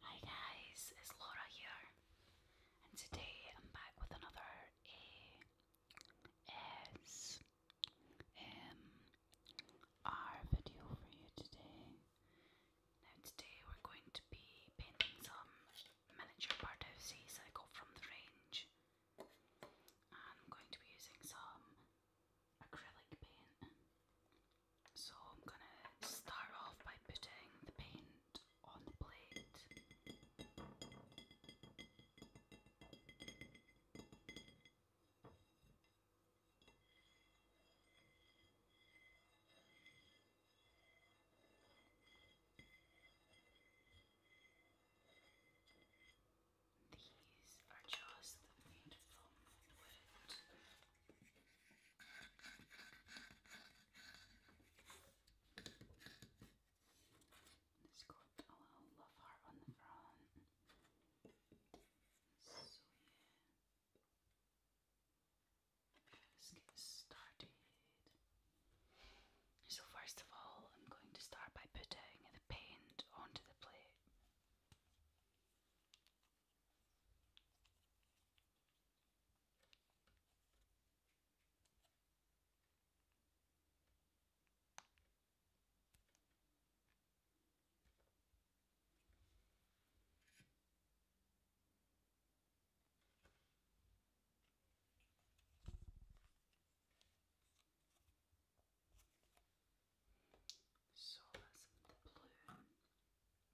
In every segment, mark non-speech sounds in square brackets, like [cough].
Hi guys, it's Laura here, and today I'm back with another ASMR um, video for you today. Now today we're going to be painting some miniature birdhouses I got from the range. I'm going to be using some acrylic paint. So I'm gonna start off by putting the paint on the plate. These are just made from wood. It's got a love heart on the front. So yeah, let's get started. So first of all, I'm going to start by putting the paint onto the plate. So that's the blue.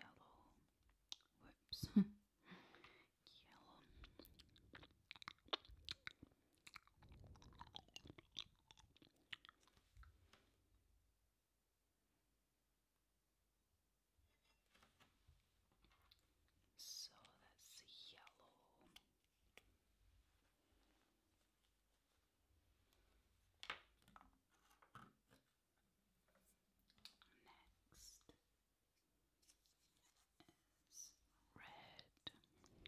Yellow. Whoops. Yellow. So that's yellow. Next is red, red,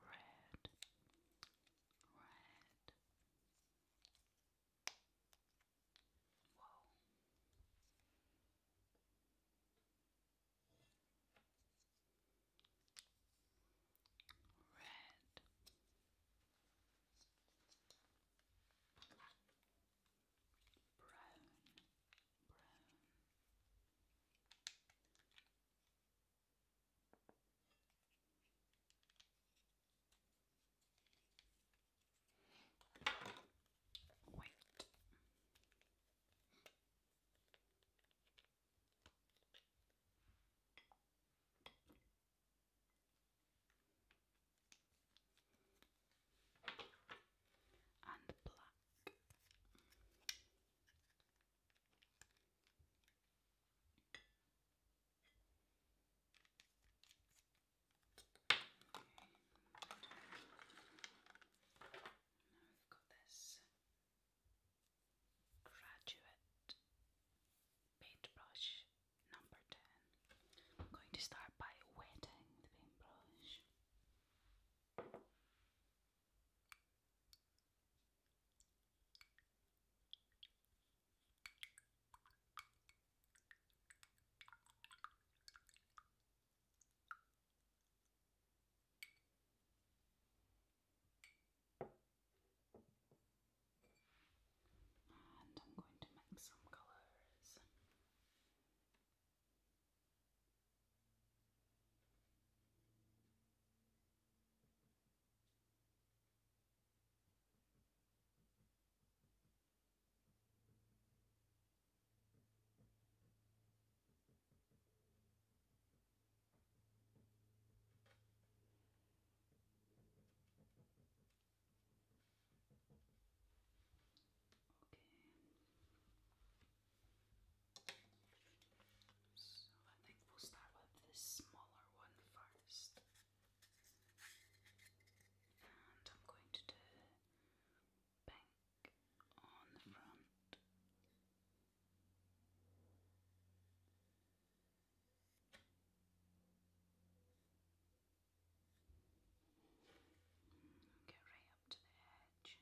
red. Whoa red brown brown white and black. Now we've got this graduate paintbrush number 10. I'm going to start by wetting the paintbrush. And I'm going to mix some colours. Okay. So I think we'll start with this smaller one first. And I'm going to do pink on the front Get right up to the edge.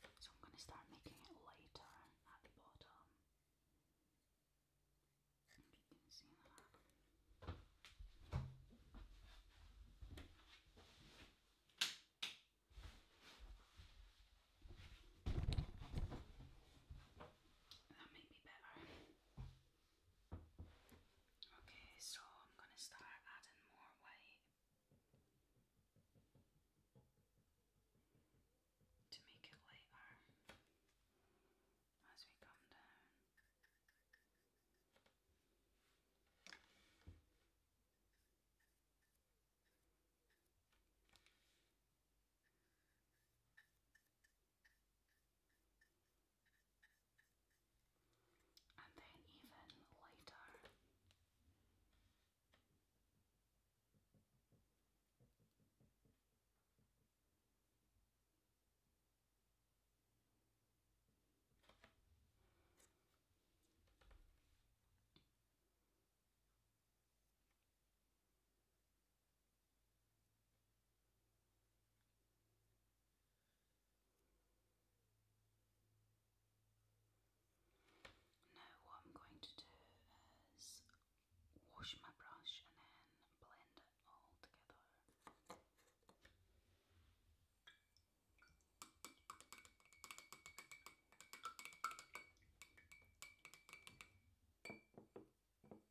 Okay. So I'm going to start making it lighter at the bottom. If you can see that. That may be better. Okay, so I'm going to start adding more white to make it lighter as we come down and then even later. Now, what I'm going to do is wash my brush and then blend it all together.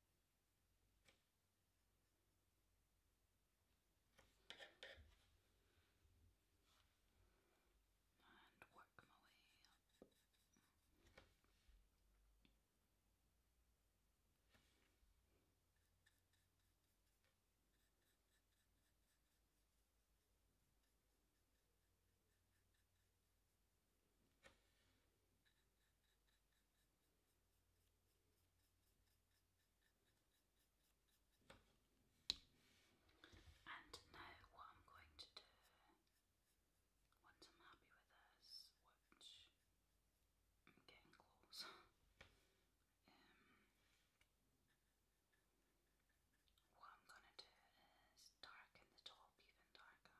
and work my way up. And now, what I'm going to do once I'm happy with this, which I'm getting close, [laughs] um, what I'm going to do is darken the top even darker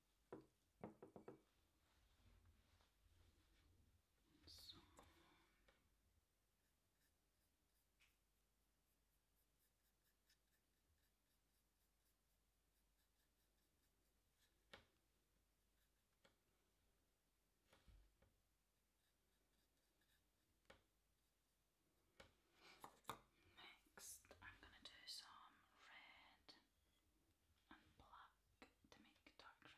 So. Next, I'm going to do some red and black to make dark red.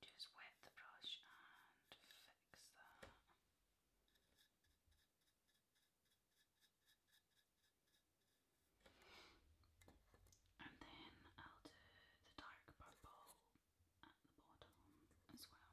Just wet the brush and fix that. And then I'll do the dark purple at the bottom as well.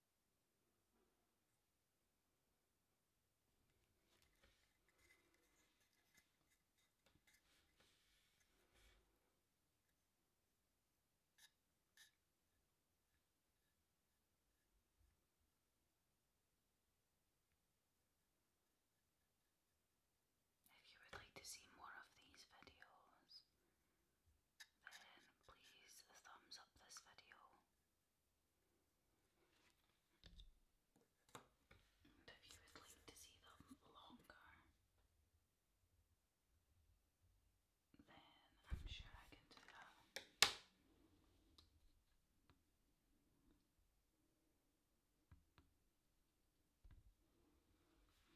If you would like to see more of these videos, then please thumbs up this video. if you would like to see them longer, then I'm sure I can do that.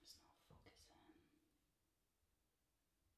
It's not focusing.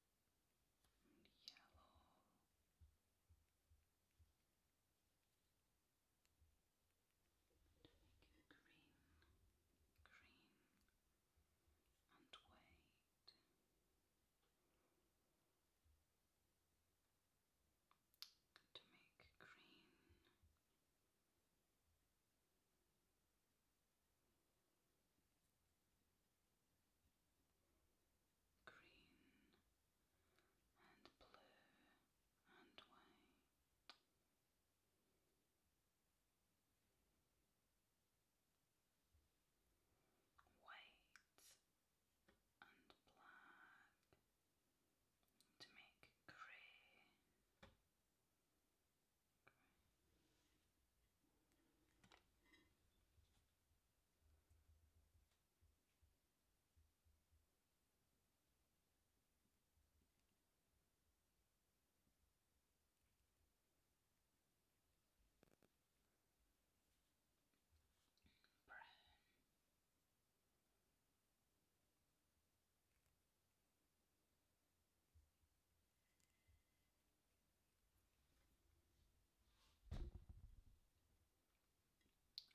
and yellow. To make it green, green, and white. To make green green and blue and white. White and black to make grey. Brown.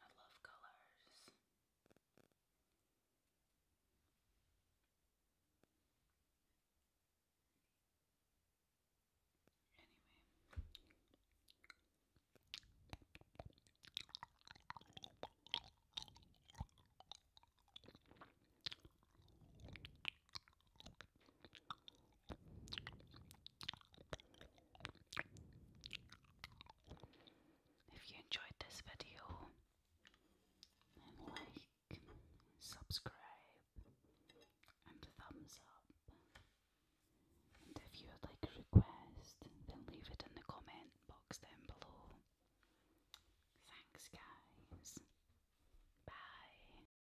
I love colors. Anyway. If you enjoyed this video, then like, subscribe, and thumbs up. And if you would like a request, then leave it in the comment box down below. Thanks, guys. Bye.